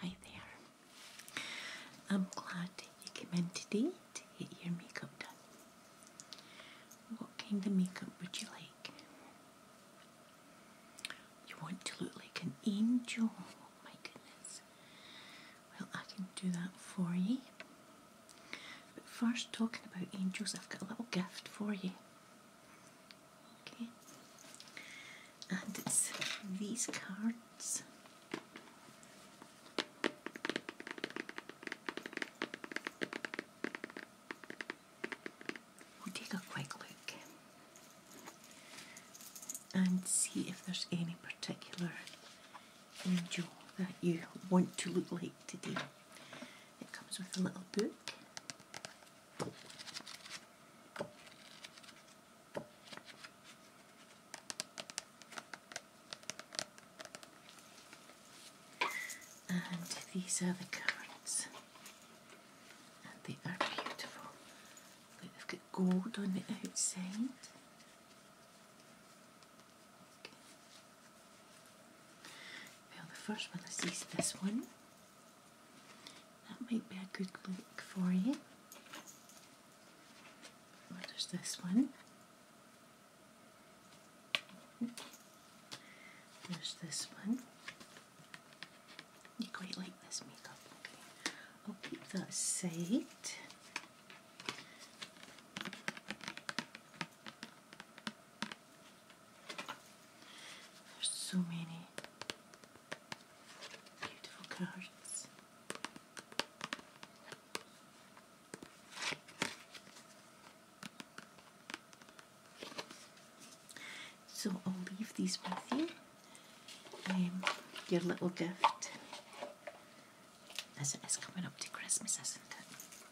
Hi there. I'm glad you came in today to get your makeup done. What kind of makeup would you like? You want to look like an angel? Oh my goodness. Well, I can do that for you. But first, talking about angels, I've got a little gift for you. Okay? And it's these cards. We'll take a quick look and see if there's any particular angel that you want to look like today. It comes with a little book. And these are the cards. And they are beautiful. Look, they've got gold on the outside. Well, the first one is this, this one. That might be a good look for you. Or oh, there's this one. There's this one. You quite like this makeup, okay. I'll keep that aside. There's so many beautiful cards. So I'll leave these with you. Um, your little gift as it is coming up to Christmas, isn't it?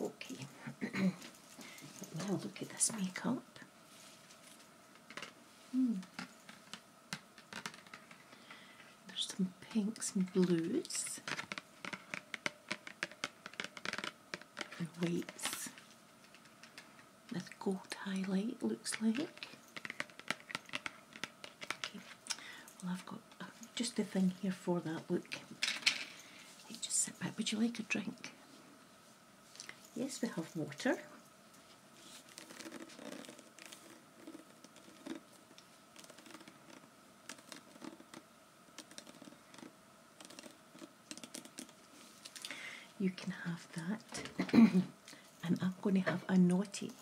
Okay, now look at this makeup. Hmm. There's some pinks and blues and whites This gold highlight looks like. Okay. I've got just the thing here for that look. just sit back. Would you like a drink? Yes, we have water. You can have that. and I'm going to have a naughty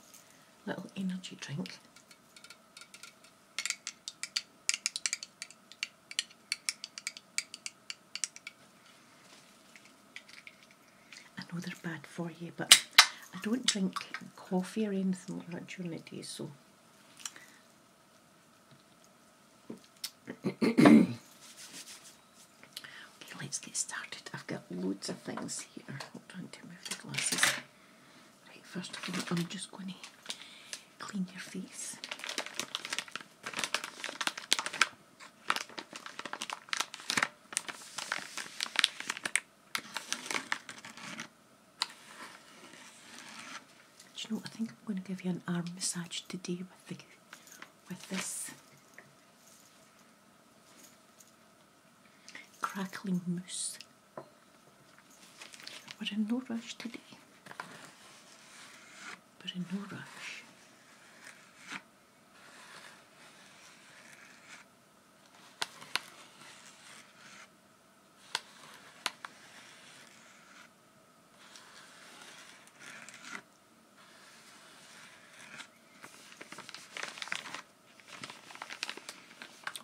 little energy drink. I know they're bad for you, but I don't drink coffee or anything like that during the day, so. okay, let's get started. I've got loads of things here. Hold on to move the glasses first of all, I'm just going to clean your face. Do you know? I think I'm going to give you an arm massage today with the, with this crackling mousse. We're in no rush today. But in no rush.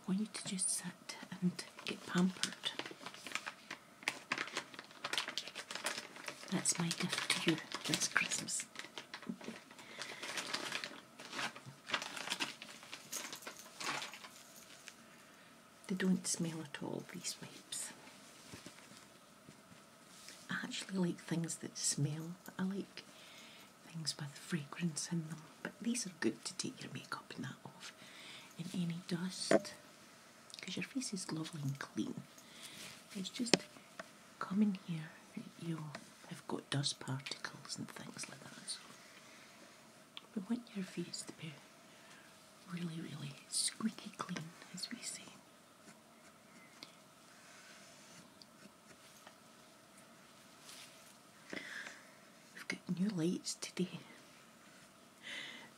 want you to just sit and get pampered. That's my gift to you this Christmas. They don't smell at all, these wipes. I actually like things that smell. I like things with fragrance in them but these are good to take your makeup and that off and any dust because your face is lovely and clean. It's just coming here, you have got dust particles and things like that. So we want your face to be really, really squeaky clean, as we say we have got new lights today,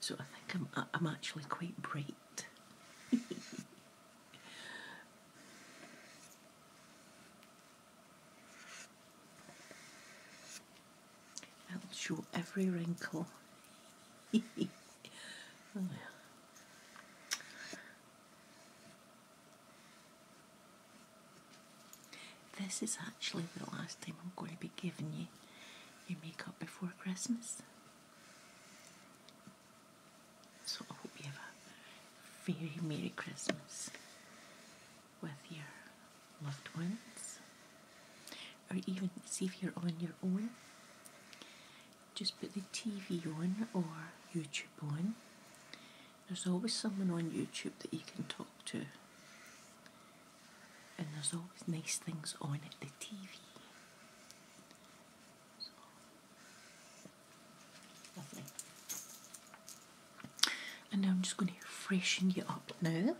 so I think I'm I'm actually quite bright. I'll show every wrinkle. Oh, this is actually the last time I'm going to be giving you your makeup before Christmas. So I hope you have a very Merry Christmas with your loved ones. Or even see if you're on your own. Just put the TV on or YouTube on. There's always someone on YouTube that you can talk to and there's always nice things on at the TV. So, And now I'm just going to freshen you up now.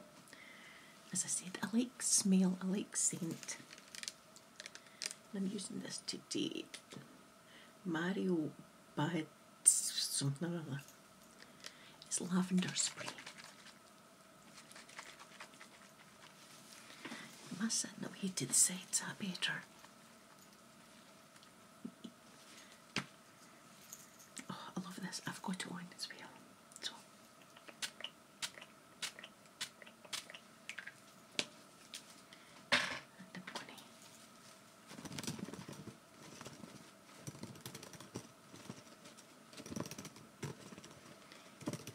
As I said, I like smell, I like scent. I'm using this today. Mario Bad something other. It's lavender spray. Am I sitting up here to the same. Is that better? Oh, I love this. I've got it on as well. So. The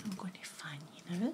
I'm going to find you know.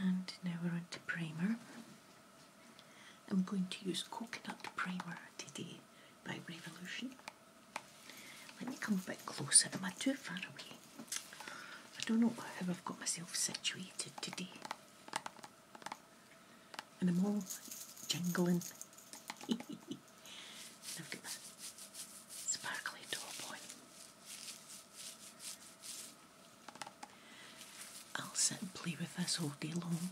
and now we're on to primer. I'm going to use coconut primer today by Revolution. Let me come a bit closer. Am I too far away? I don't know how I've got myself situated today. And I'm all jingling. I've got my sparkly top on. I'll sit and play with this all day long.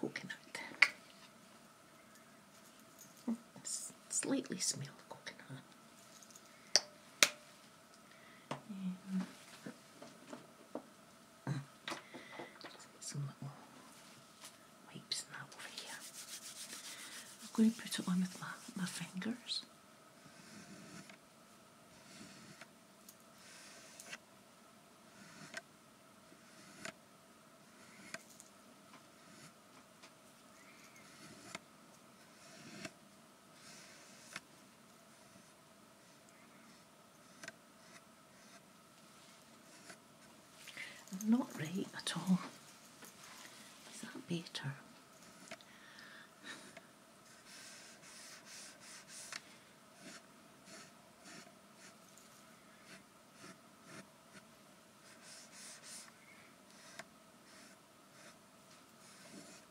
Coconut. slightly smell of coconut. Um, some little wipes and over here. I'm going to put it on with my, my fingers. Not right at all. Is that better?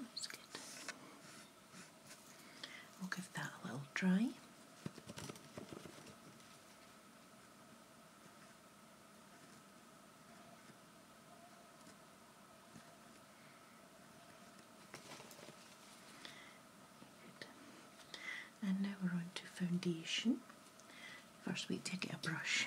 That's good. We'll give that a little dry. And now we're on to foundation. First we take a brush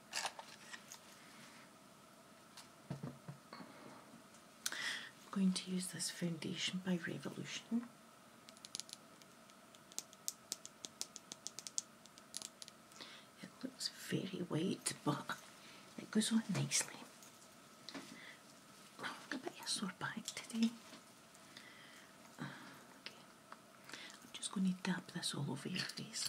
I'm going to use this foundation by Revolution. It looks very white but it goes on nicely. Oh, I'm a bit of sore back today. Okay. I'm just going to dab this all over your face.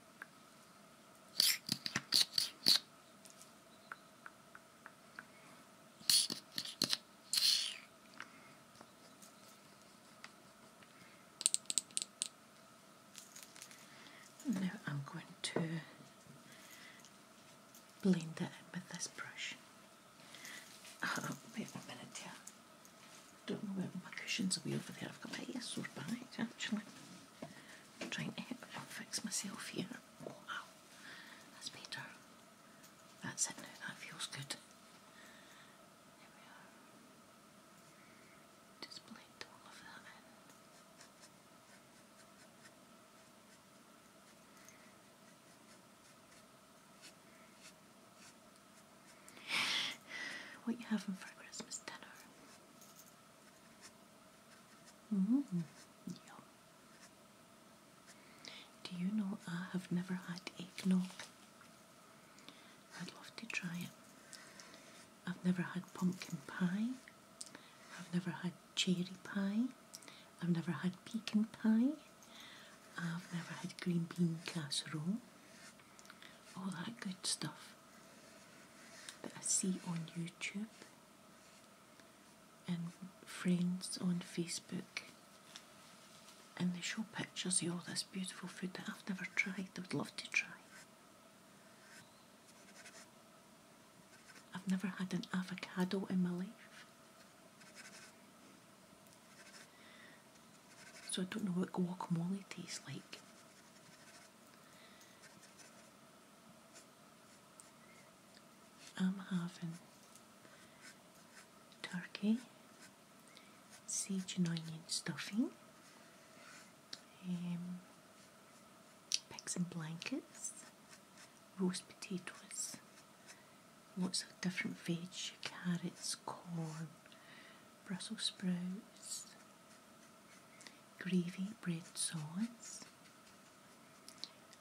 Now I'm going to blend that with this brush. Oh, wait a minute here. Don't know where my cushion's away over there. I've got my hair sore behind actually. I'm trying to fix myself here. Oh, That's better. That's it now. That feels good. There we are. Just blend all of that in. What you having for Christmas dinner? Mm-hmm. Do you know I have never had eggnog? I'd love to try it. I've never had pumpkin pie. I've never had cherry pie. I've never had pecan pie. I've never had green bean casserole. All that good stuff that I see on YouTube and friends on Facebook. And they show pictures of all this beautiful food that I've never tried, I would love to try. I've never had an avocado in my life. So I don't know what guacamole tastes like. I'm having turkey, sage and onion stuffing, um, pigs and blankets, roast potatoes, lots of different veggies, carrots, corn, Brussels sprouts, gravy bread sauce.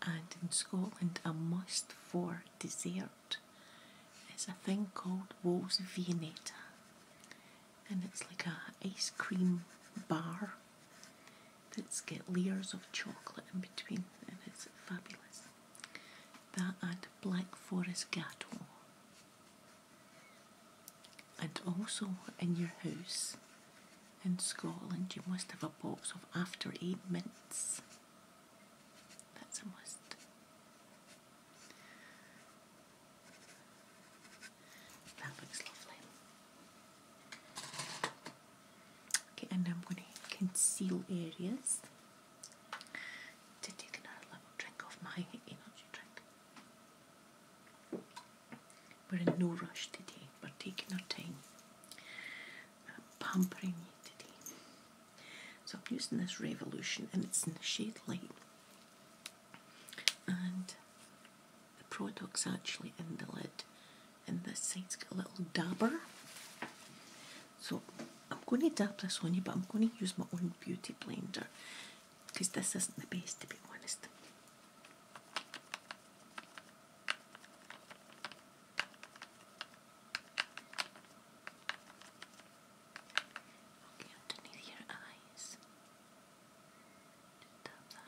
And in Scotland, a must for dessert is a thing called Wool's Viennetta, and it's like a ice cream bar that's got layers of chocolate in between, and it's fabulous. That and Black Forest Gateau. And also in your house in Scotland, you must have a box of after eight mints. That's a must. That looks lovely. Okay, and I'm going to conceal areas to take another little drink of my we're uh, in no rush today. We're taking our time. pampering you today. So I'm using this Revolution and it's in the shade light. And the product's actually in the lid. And this side's got a little dabber. So I'm going to dab this on you, but I'm going to use my own beauty blender because this isn't the best to be honest. Okay, underneath your eyes. Just tap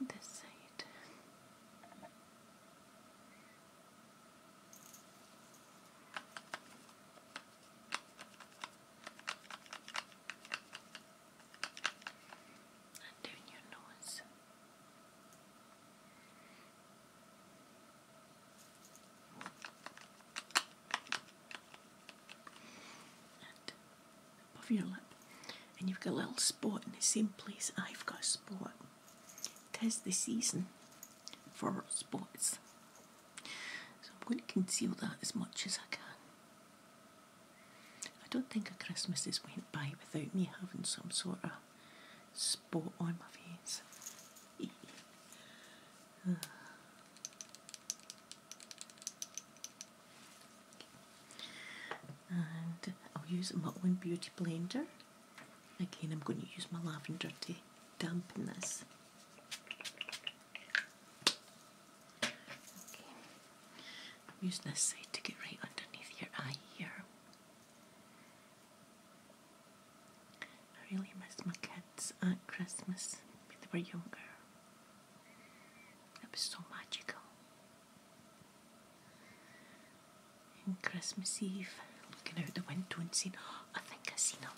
On this side. And your nose. And above your lip. And you've got a little spot in the same place I've got a spot. 'Tis the season for spots. So I'm going to conceal that as much as I can. I don't think a Christmas has went by without me having some sort of spot on my face. Eh. and I'll use my own beauty blender Again, I'm going to use my lavender to dampen this. Okay. using this side to get right underneath your eye here. I really miss my kids at Christmas when they were younger. It was so magical. And Christmas Eve, looking out the window and seeing, oh, I think I've seen him.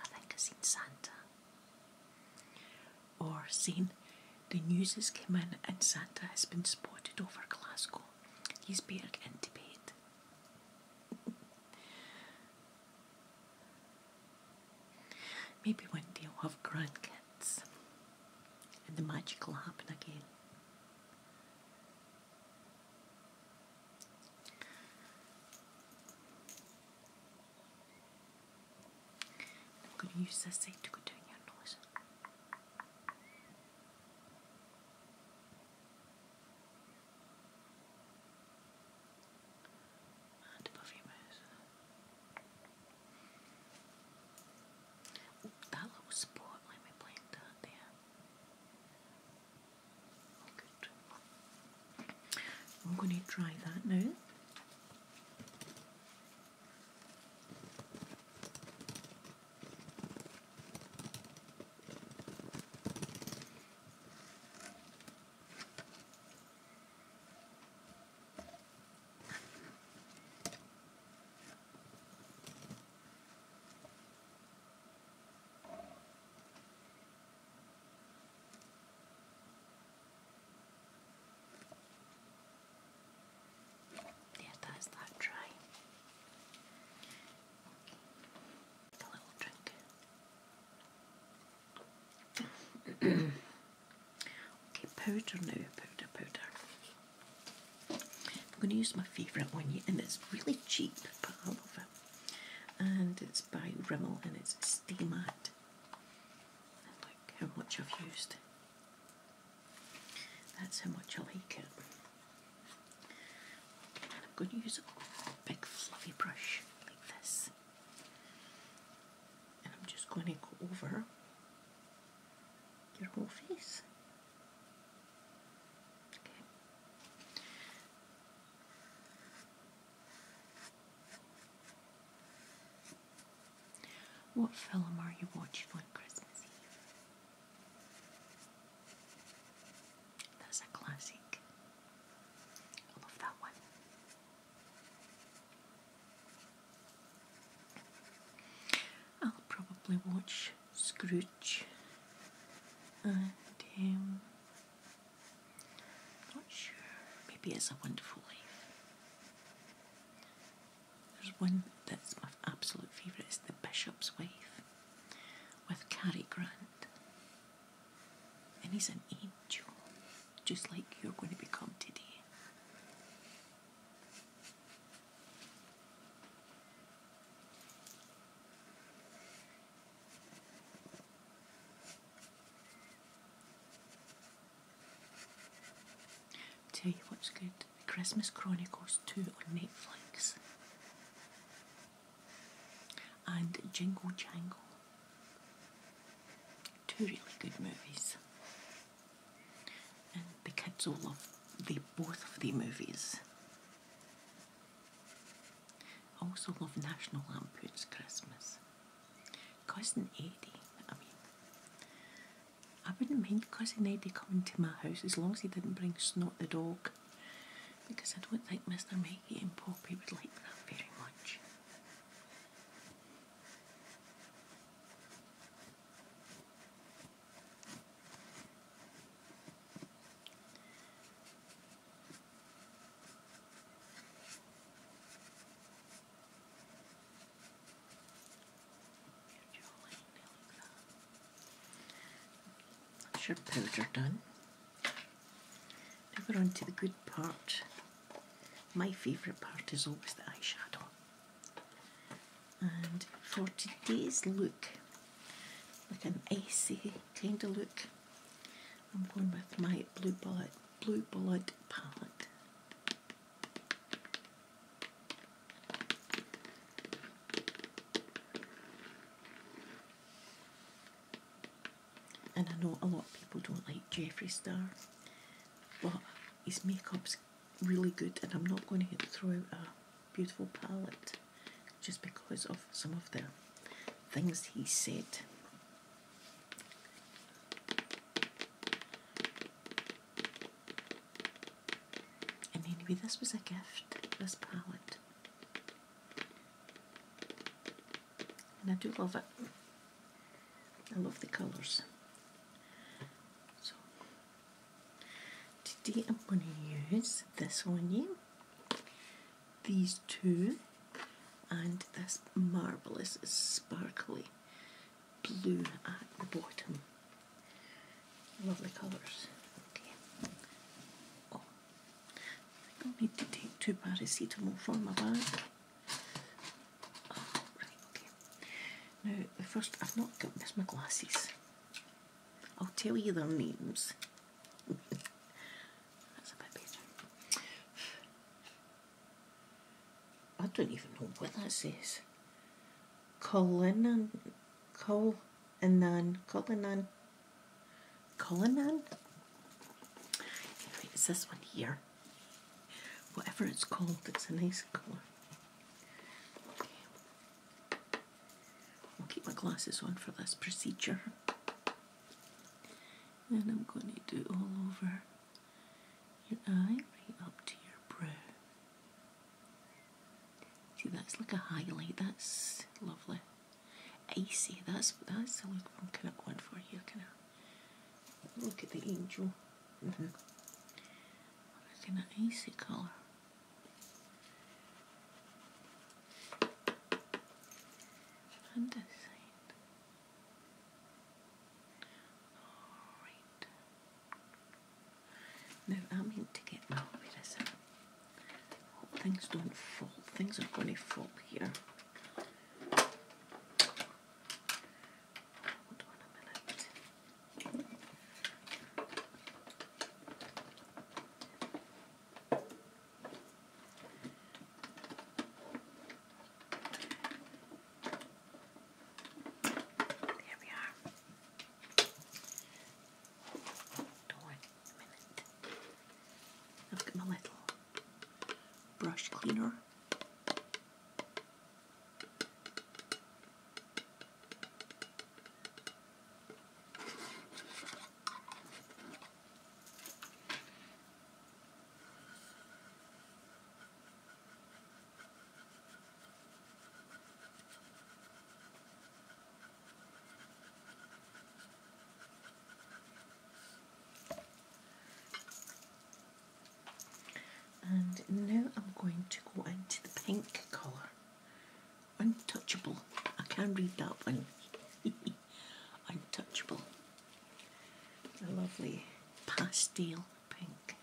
I think I've Santa. Or saying, the news has come in and Santa has been spotted over Glasgow. He's beard and into Maybe one day I'll have grandkids and the magic will happen again. I'm going to use this seat to go your noise. And above your mouth. that little spot, let me blend that there. I'm going to try that now. There, that's that dry. Okay. A little drink. okay, powder now, powder, powder. I'm going to use my favourite one, and it's really cheap, but I love it. And it's by Rimmel, and it's Stay Matte. look how much I've used. That's how much I like it. I'm going to use a big fluffy brush like this. And I'm just going to go over your whole face. What film are you watching on Christmas Eve? That's a classic. I love that one. I'll probably watch Scrooge and um, not sure, maybe it's a wonderful life. There's one that's my absolute favourite, it's The Bishop's Wife with Cary Grant. And he's an angel, just like you're going to become today. Tell you what's good Christmas Chronicles 2 on Netflix and Jingle Jangle. Two really good movies. And the kids all love the both of the movies. I also love National Lampoon's Christmas. Cousin Eddie, I mean, I wouldn't mind Cousin Eddie coming to my house as long as he didn't bring Snot the dog, because I don't think Mr. Maggie and Poppy would like that very much. Once your powder done, now we're on to the good part. My favourite part is always the eyeshadow and for today's look like an icy kind of look I'm going with my blue bullet blue bullet palette and I know a lot of people don't like Jeffree Star but his makeup's really good and I'm not going to throw out a beautiful palette just because of some of the things he said. And anyway, this was a gift, this palette. And I do love it. I love the colours. So, Today I'm going to use this one here, these two, and this marvellous sparkly blue at the bottom. Lovely colours. Okay. Oh, I think i need to take two paracetamol from my bag. Oh, right, okay. Now, first, I've not got, missed my glasses. I'll tell you their names. That's a bit better. I don't even know what that says. Colinan, Colinan, Colinan, Colinan? Anyway, it's this one here. Whatever it's called, it's a nice colour. I'll keep my glasses on for this procedure. And I'm going to do it all over your eye, right up to your brow. See, that's like a highlight. That's lovely. Icy. That's that's the look I'm going for you, Kind of look at the angel. Mm -hmm. I'm icy colour. And I mean to get my oh, things don't fall. Things are going to fall here. Hold on a minute. Here we are. Don't wait a minute. I've got my little brush cleaner. And now I'm going to go into the pink colour untouchable. I can read that one. untouchable. A lovely pastel pink.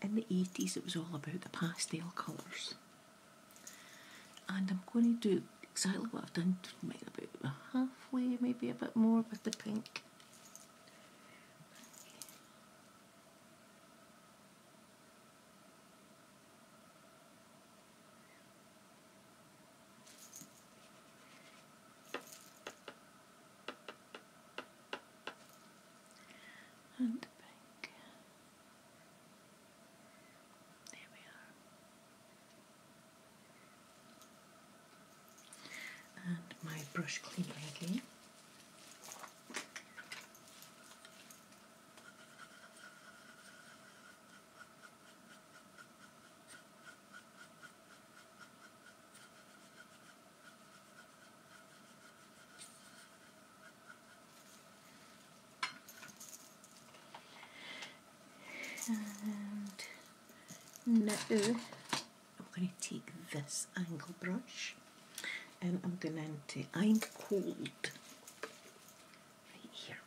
In the 80s it was all about the pastel colours. And I'm going to do exactly what I've done, maybe about halfway, maybe a bit more with the pink. And back. There we are. And my brush cleaner again and now I'm going to take this angle brush and I'm gonna empty. I'm cold. Right here.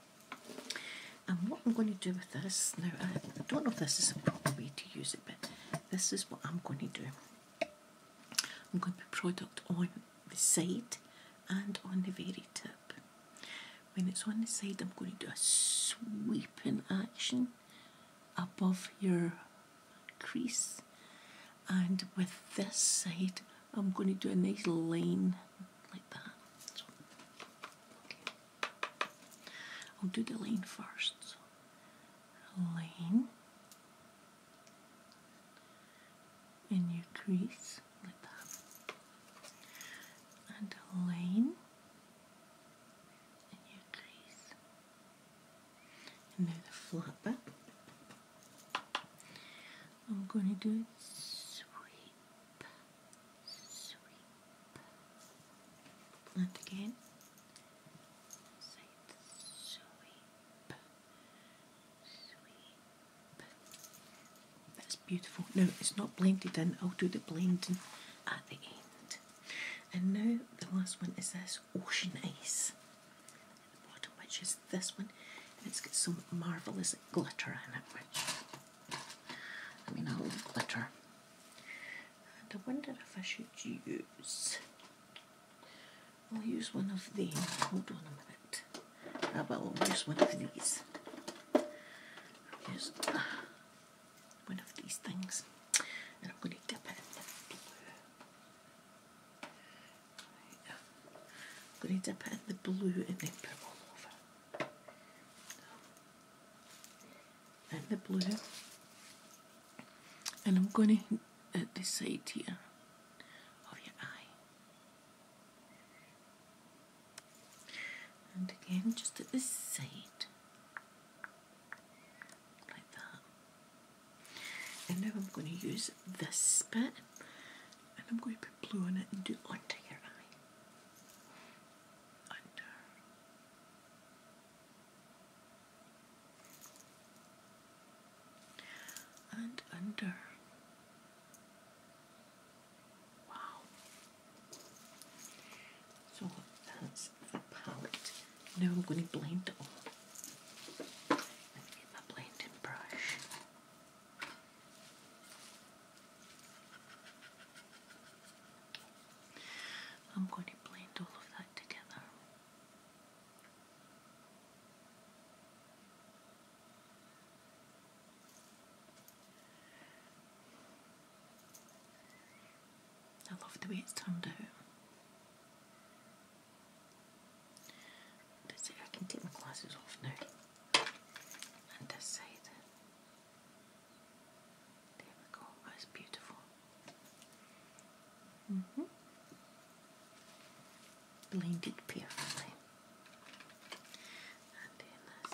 And what I'm going to do with this, now I don't know if this is a proper way to use it, but this is what I'm going to do. I'm going to put product on the side and on the very tip. When it's on the side, I'm going to do a sweeping action above your crease and with this side I'm going to do a nice line like that. I'll do the line first. So, line in your crease like that and line in your crease and there's a flopper. I'm going to do it sweep, sweep. Once again, sweep, sweep. That's beautiful. No, it's not blended in, I'll do the blending at the end. And now the last one is this ocean ice which is this one, it's got some marvellous glitter in it, which I mean, I love glitter. I wonder if I should use. I'll use one of the. Hold on a minute. I uh, will use one of these. I'll use uh, one of these things, and I'm going to dip it I'm going to dip it in the blue and then put it all over. In the blue. And I'm going to hint at the side here of your eye. And again, just at this side. Like that. And now I'm going to use this bit and I'm going to put blue on it and do it your eye. Under. And under. Wow. So that's the palette. Now I'm going to blend all. Let me get my blending brush. I'm going to blend all of that together. I love the way it's turned out. Let's see if I can take my glasses off now and this There we go, that's beautiful. -hmm. Blended perfectly. And then this.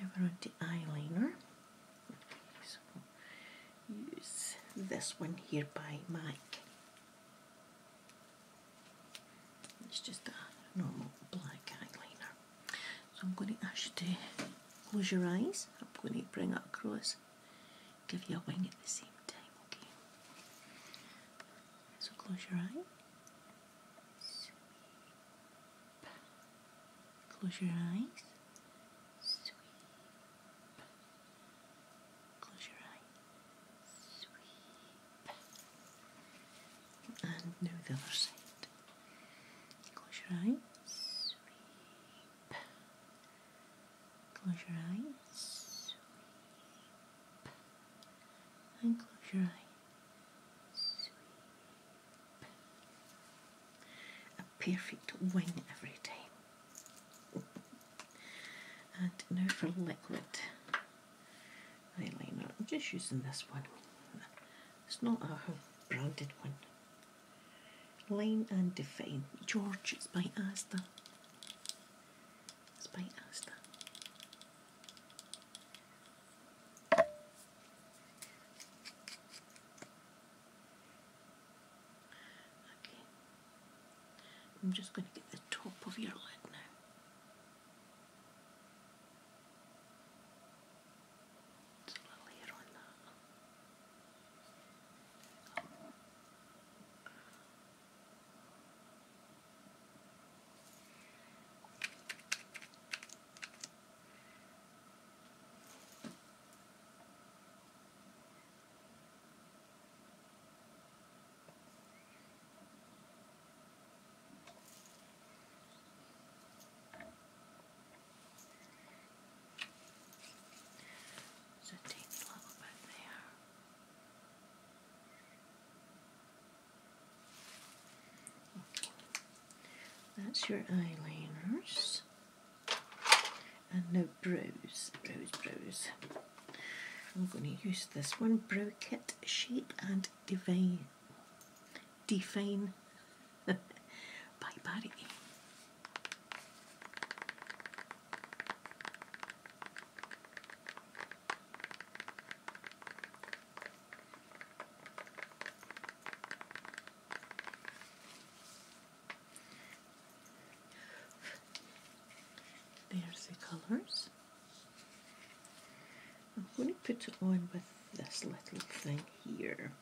Now we're on the eyeliner. use this one here by Mike. It's just a normal black eyeliner. So I'm going to ask you to close your eyes. I'm going to bring it across, give you a wing at the same time, okay? So close your eyes. Close your eyes. Close your eyes. Sweep. And now the other side. Close your eyes. Close your eyes and close your eyes. A perfect wing every time. And now for liquid eyeliner. I'm just using this one. It's not a branded one. Line and Define. George, it's by Asta. Okay. I'm just going to get the top of your leg now. Just a little hair on that. So take a little bit there. That's your eyeliners. And now brows, brows, brows. I'm going to use this one, Brow Kit Shape and define, Define by Barry. There's the colours. I'm going to put it on with this little thing here.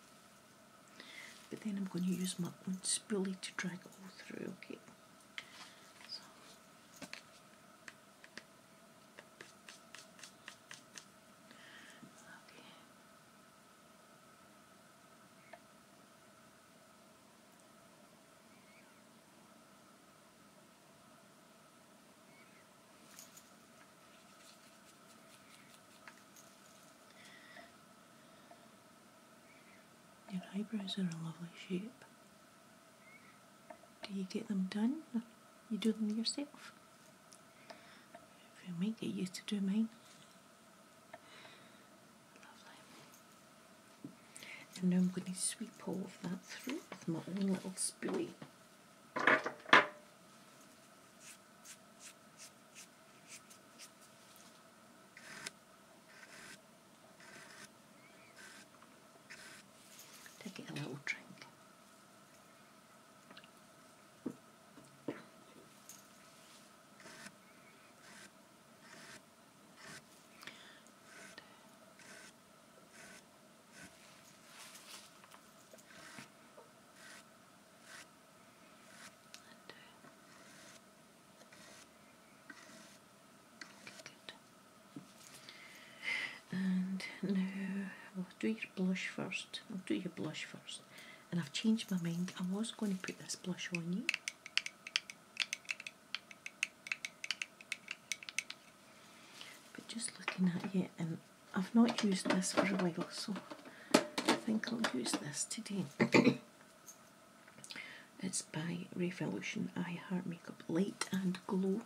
But then I'm going to use my own spoolie to drag it all through, okay? Your eyebrows are a lovely shape. Do you get them done? You do them yourself? I might get used to do mine. And now I'm going to sweep all of that through with my own little spoolie. Take it a little drink. And now we'll do your blush first. I'll do your blush first. And I've changed my mind. I was going to put this blush on you. But just looking at you, and I've not used this for a while, so I think I'll use this today. It's by Revolution I Heart Makeup Light and Glow.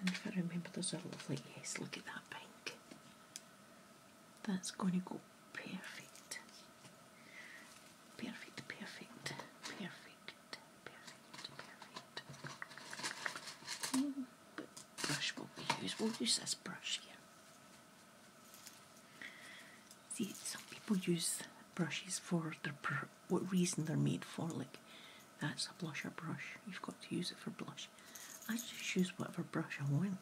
And if I remember, those a lovely yes. Look at that pink. That's going to go perfect. Perfect, perfect, perfect, perfect, perfect. Mm, but brush what we use. We'll use this brush here. See, some people use brushes for their what reason they're made for. Like, that's a blusher brush. You've got to use it for blush. I just use whatever brush I want.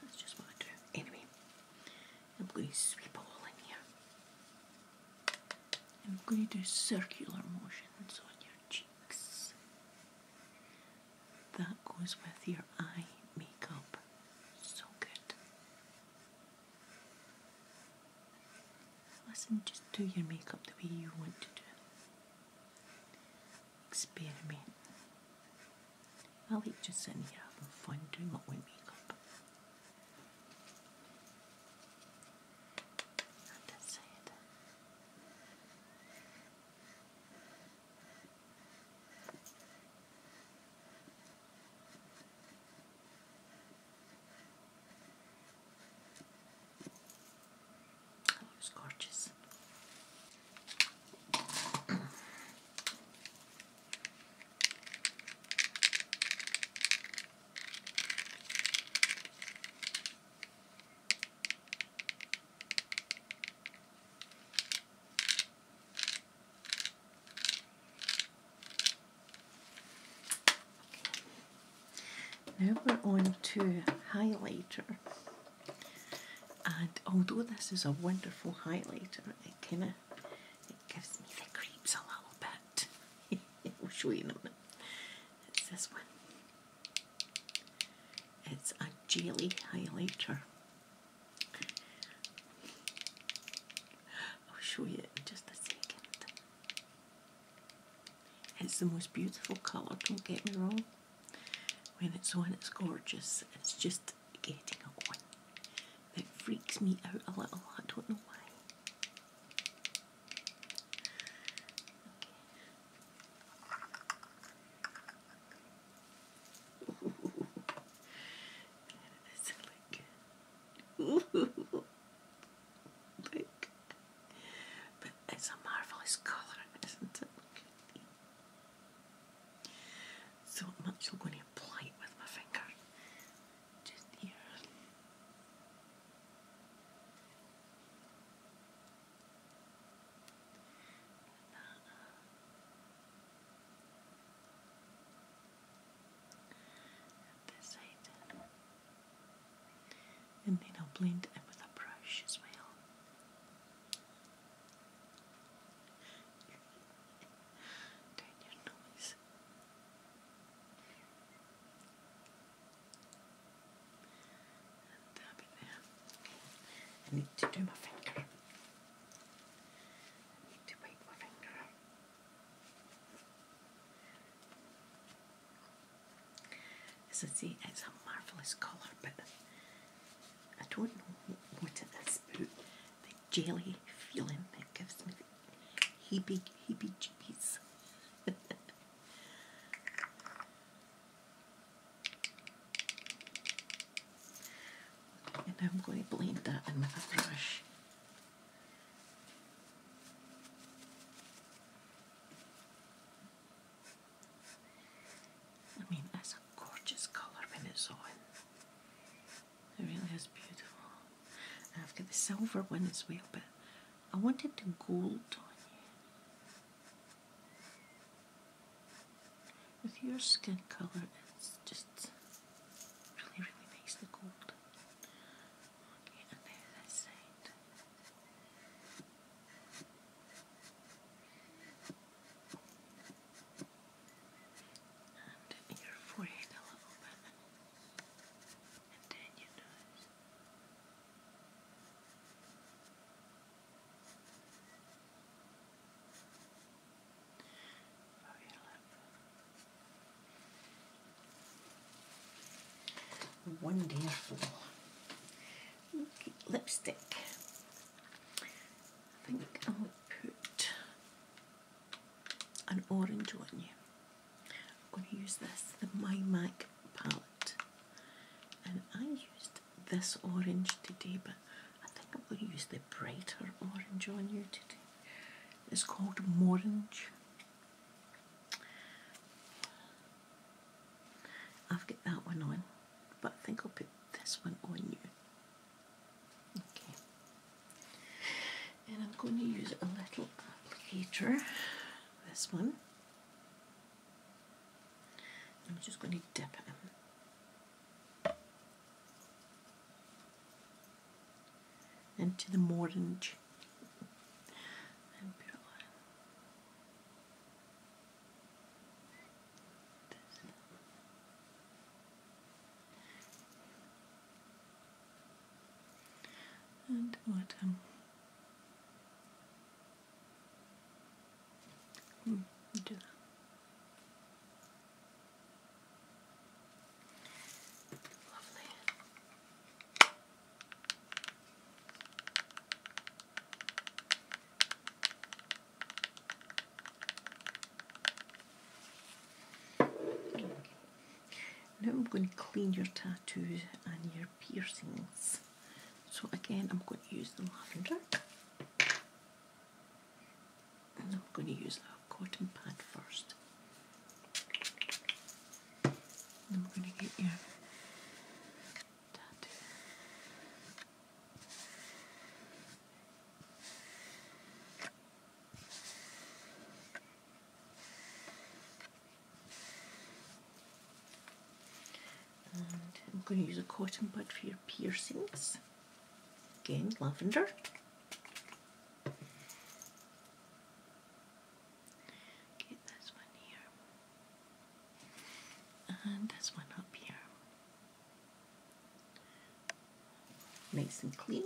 That's just what I do. Anyway, I'm going to sweep all in here. I'm going to do circular motions on your cheeks. That goes with your eye makeup. So good. Listen, just do your makeup the way you want to do it. Experiment. I like just sitting here having fun doing my own makeup. And that's it. Oh, it's gorgeous. Okay. Now we're on to highlighter. And although this is a wonderful highlighter, it kind of it gives me the creeps a little bit. I'll show you in a minute. It's this one. It's a jelly highlighter. I'll show you in just a second. It's the most beautiful colour, don't get me wrong. When it's on, it's gorgeous. It's just getting a on that freaks me out a little. I don't know why. like, But it's a marvellous colour, isn't it? Look So I'm going to apply with my finger just here. And then I'll blend it with a brush as well. Down your nose. And it uh, there. Uh, I need to do my finger. need to wipe my finger. As I say, it's a marvellous colour, but I don't know what it is about the jelly feeling that gives me the heebie, heebie jeebies. and I'm going to blend that in with a brush. I mean, it's a gorgeous colour when it's on. It really is beautiful. And I've got the silver one as well, but I wanted the gold on you. With your skin colour, it's just really, really nice, the gold. Okay, and now this side and your forehead a little bit, and then your nose. Wonderful lipstick. I think I will put an orange on you. I'm going to use this, the My Mac palette. And I used this orange today, but I think I'm going to use the brighter orange on you today. It's called Morange. I've got that one on, but I think I'll put this one on you. Okay. And I'm going to use a little applicator, this one. I'm just going to dip it into the orange and bottom. Um, mm, do that. Lovely. Now I'm going to clean your tattoos and your piercings. So again, I'm going to use the lavender. And I'm going to use a cotton pad first. And I'm going to get your I'm going to use a cotton bud for your piercings. Again, lavender. Get this one here. And this one up here. Nice and clean.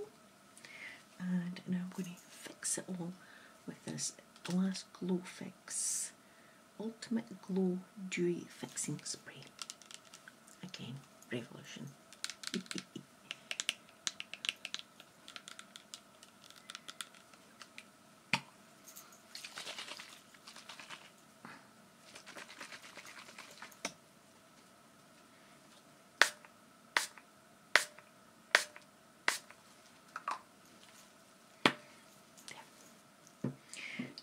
And now I'm going to fix it all with this last Glow Fix Ultimate Glow Dewy Fixing Spray. Again, Revolution.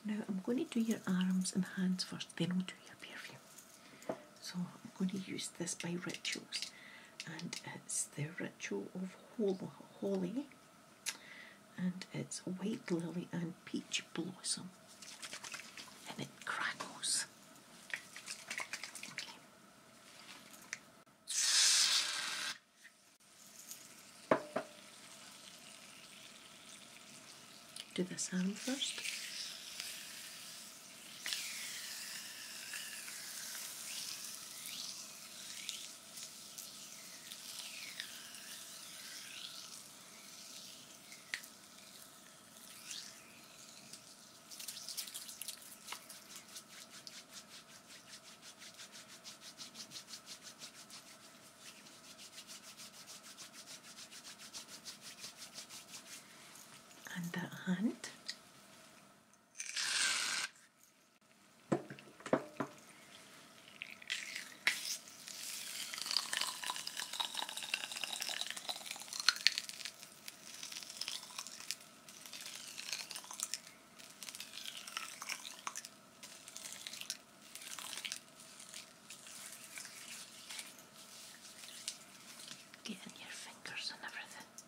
Now I'm going to do your arms and hands first, then we'll do your perfume. So I'm going to use this by Rituals, and it's the Ritual of Holy and it's white lily and peach blossom, and it crackles. Do this hand first. And that hand Getting your fingers and everything.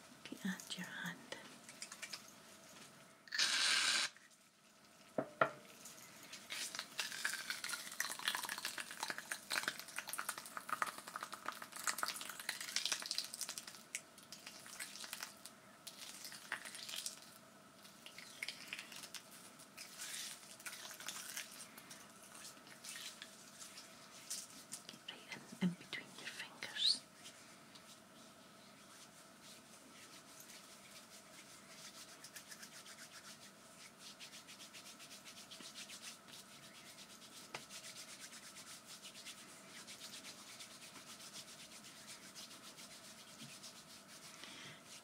looking at your hand. Get right in, between your fingers.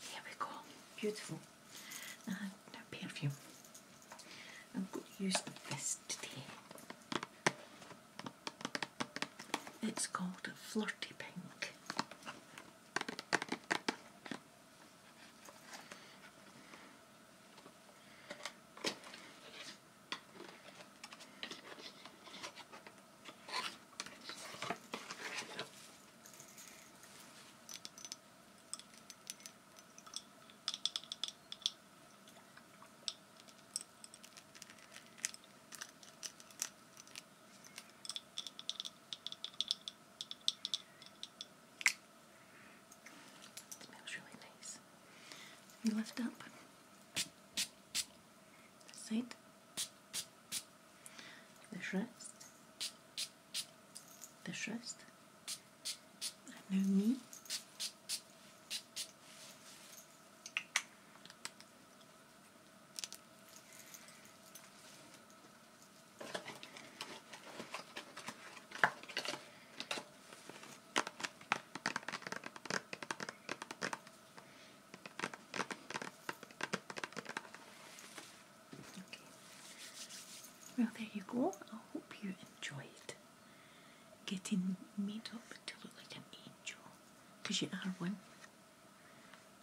There we go, beautiful. Uh, perfume. I'm going to use this today. It's called Flirty Pink. It smells really nice. You lift up. That's it. The wrist. The wrist. Well, there you go. I hope you enjoyed getting made up to look like an angel, because you are one.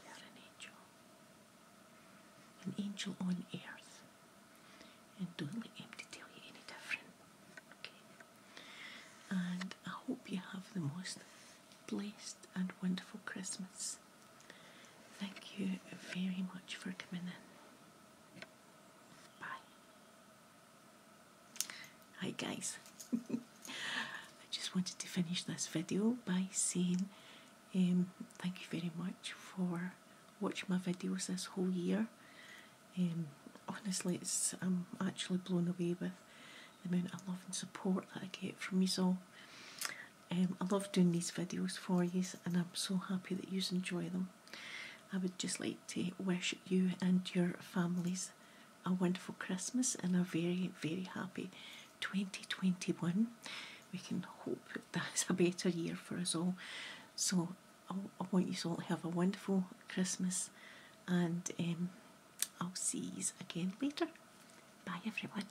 You are an angel. An angel on earth. And don't let empty tell you any different. Okay? And I hope you have the most blessed and wonderful Christmas. Thank you very much for coming in. Bye. Hi guys, I just wanted to finish this video by saying um, thank you very much for watching my videos this whole year. Um, honestly, I'm actually blown away with the amount of love and support that I get from you all. Um, I love doing these videos for you and I'm so happy that you enjoy them. I would just like to wish you and your families a wonderful Christmas and a very, very happy 2021. We can hope that's a better year for us all. So I, want you all to have a wonderful Christmas and um, I'll see you again later. Bye everyone.